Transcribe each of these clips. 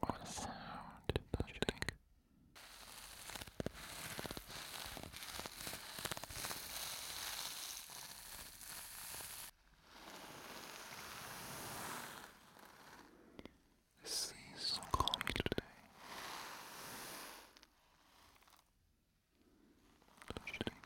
What sound don't you think? The so calming Don't you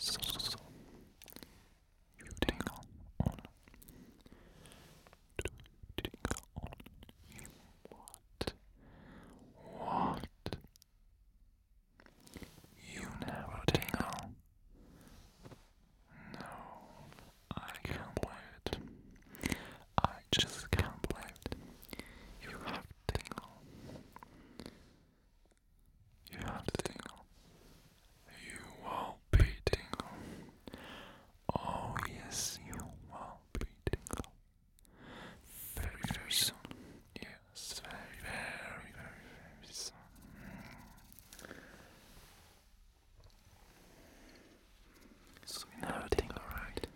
so, so, so. You tingle on. Do tingle on. What? What? You never tingle. No, I can't believe it. I just can't believe it. You have tingle. You have tingle. You will be tingle. Oh yes, you will be tingle. Very, soon. Yeah. It's very, very, very, very soft. So we know everything alright.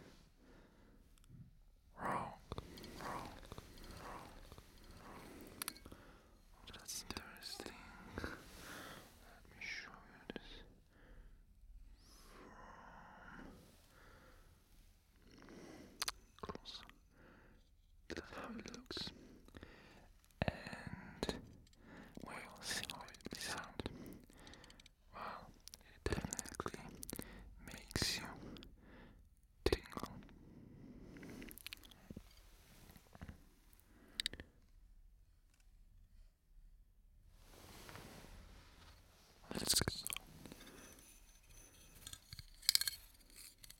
Wrong, wrong, wrong. That's interesting. Let me show you this close. That's how it looks. And we'll see how it plays Well, it definitely makes you tingle. Let's get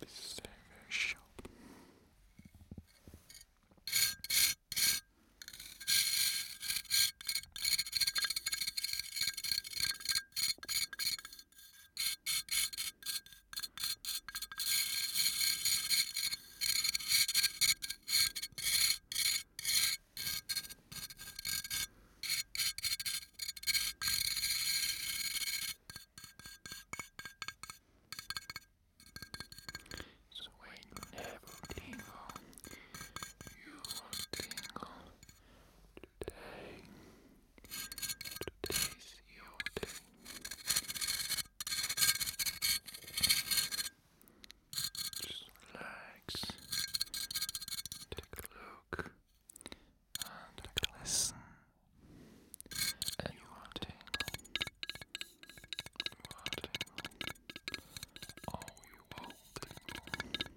This is very, very sharp. So when you never tingle, you will tingle today. Today's your day. Just relax. Take a look and listen, and you are tingled, you are tingled, oh you will tingle.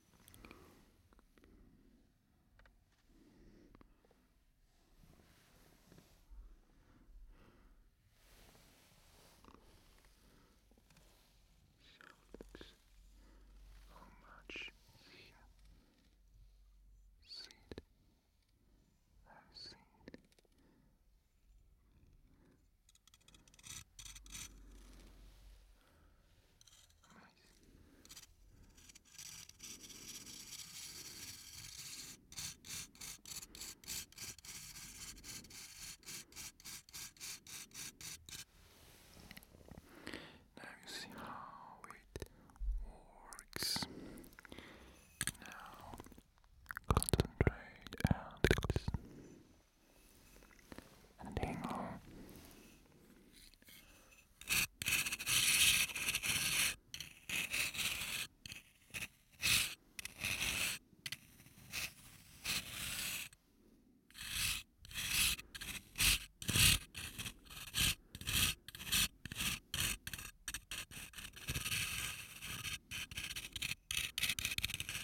Shoulders. How much fear? Sit. I've seen. Now you see how it works. Now concentrate and listen and hang on.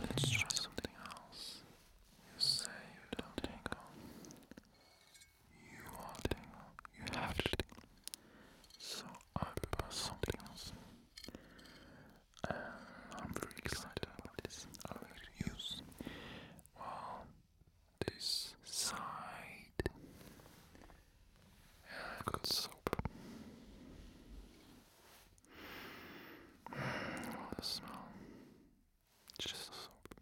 Let's try something else. You say you don't tingle. You are tingle. You have to So I propose something else. And I'm very excited about this. I will use well this side and good soap. The smell. just soap.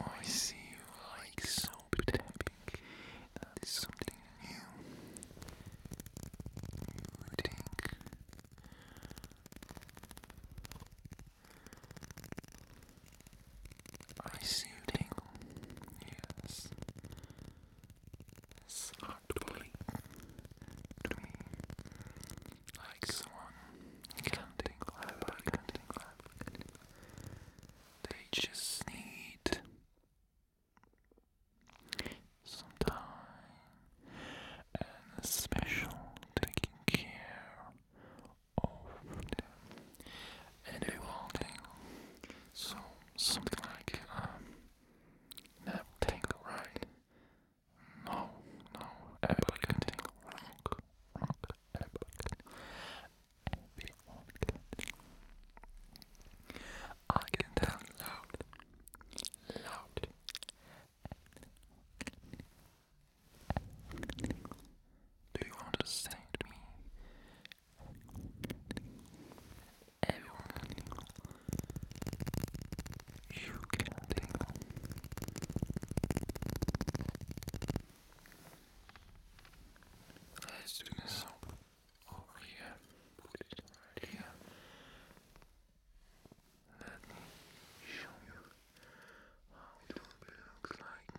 Oh, I see you like soap tapping. That is something new. You think. I see you tingle. Yes softly to me, like someone counting clap, counting clap. They just need some time and special taking care of them and they will so something like um, never tingle right. No, no, everybody can tingle wrong, wrong, everybody can. Everyone can. I can tell loud, loud. Do you want me? everyone you can tingle let's do this over here let me show you how it looks like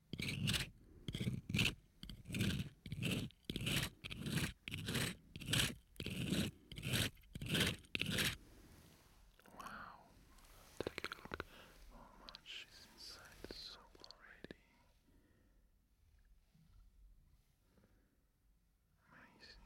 Wow. Take a look how much is inside the soap already. Amazing.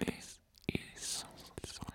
This is so satisfying.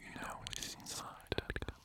You know what is inside that cup.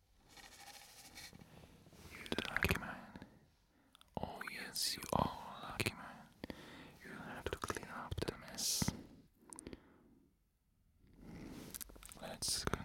You're the lucky man. Oh yes, you are lucky man. You have to clean up the mess. Let's continue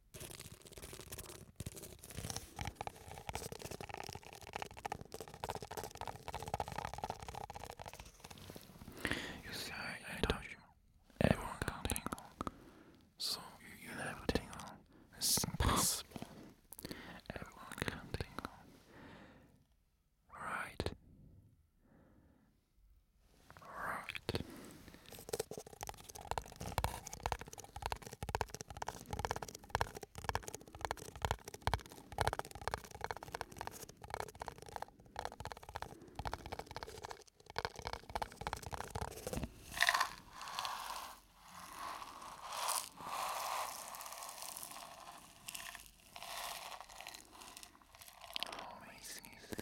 You see, I, I you, everyone can tingle. So you, never tingle. It's impossible. Everyone can tingle. Right. Right. Amazing things.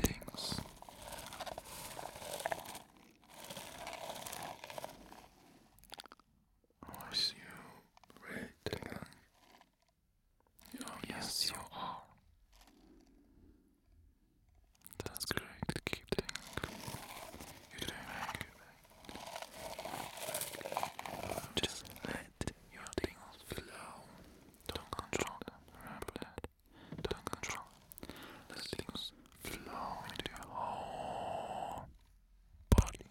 things. Oh, I you waiting. yes, you are. That's great. Keep doing. you just let your tingles flow. Don't control them. Remember that. Don't control them. Let tingles flow into your whole body.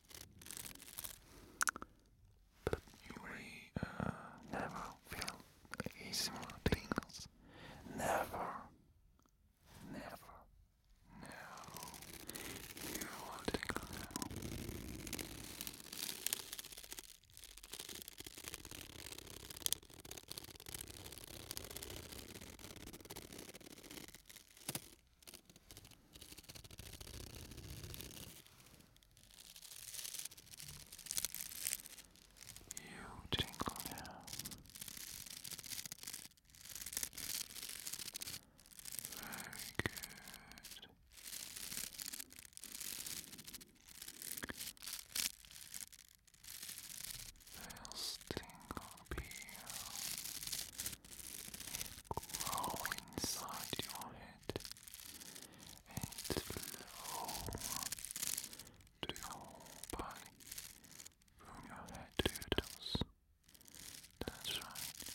we uh, never feel easy things. Never, never, no. You will tingle you tingle now. Very good. They'll tingle peel grow inside your head and flow to your your head to your toes. That's right.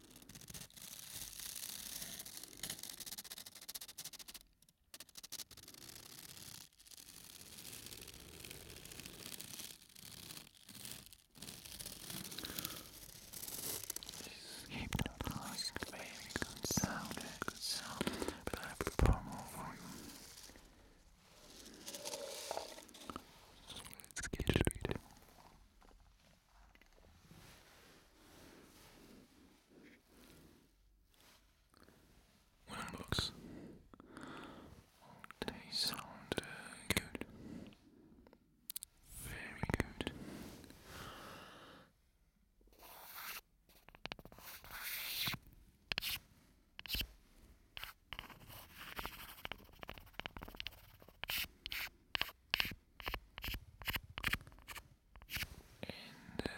Hypnotize could make a good sound, a good sound, but I have to pour more for you. So let's get to it. When it they sound good, very good and uh,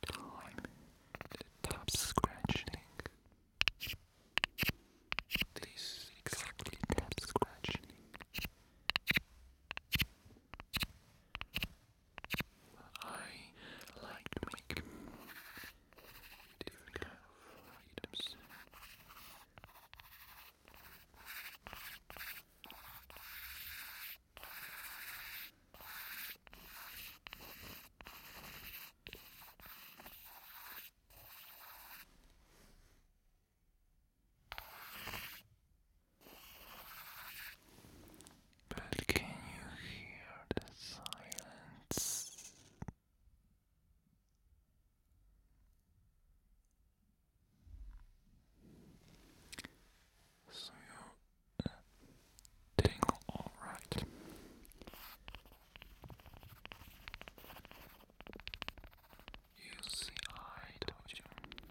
the time, the top scratching. This exactly tap scratching. I like to make different kind of items. But can you hear the silence? So you're uh, doing all right. You see, I told you.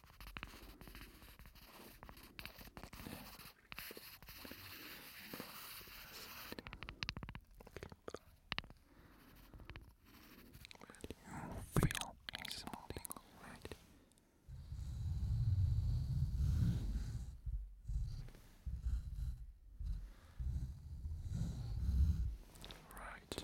feel a small tingle, right? Right.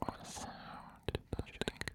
What sound does you think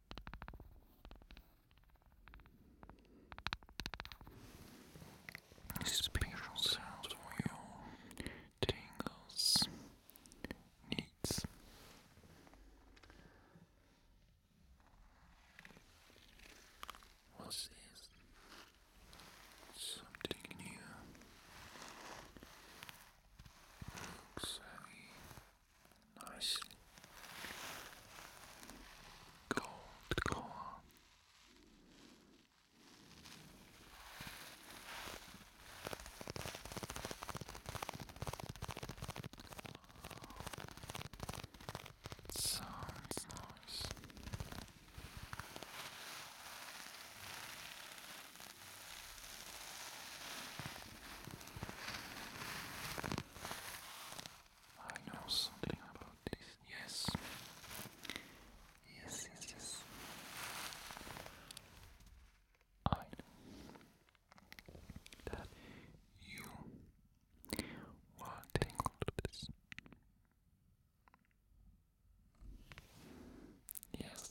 Special sounds for your tingles needs. What's this? Something new. Looks nice gold color. Sounds nice. I know something about this. Yes. Yes, yes, yes. I that you were tangled with this. Yes,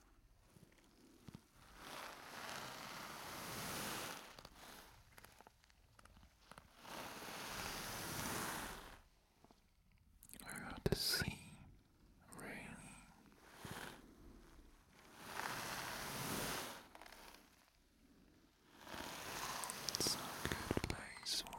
I got to see, really. It's good place for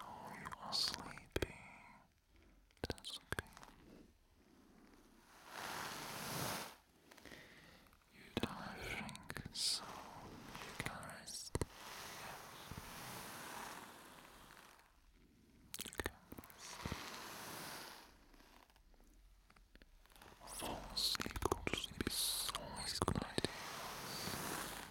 Oh, you are sleepy. That's okay. You don't have drink, so you can rest. Yes. You can rest. always a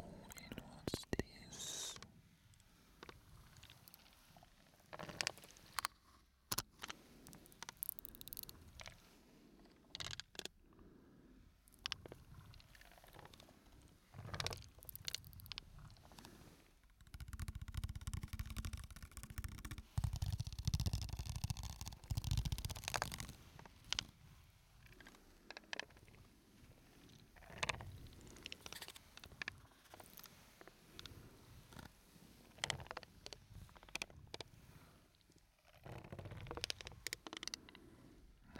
Oh, and what's this?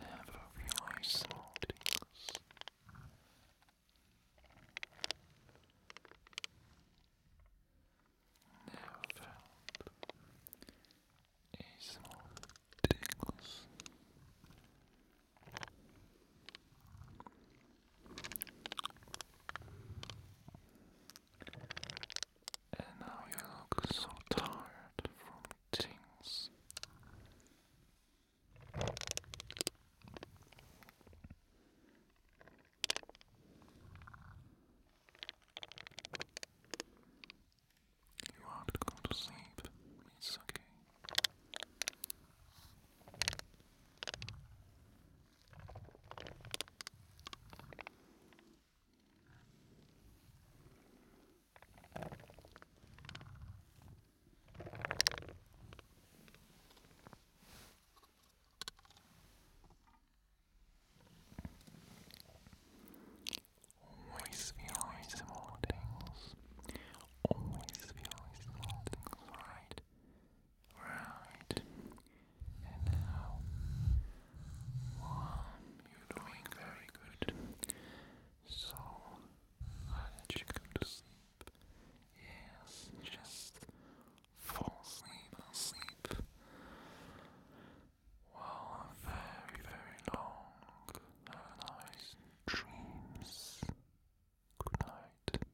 Never realize small things. Never felt a small tingles. And now you look so tired from things. You want to go to sleep. It's okay. Always feel Always feel right? Right. And now, you're doing very good. So, I'll let you to sleep. Yes, just fall asleep, asleep. Well, very, very long. Have nice dreams. Good night.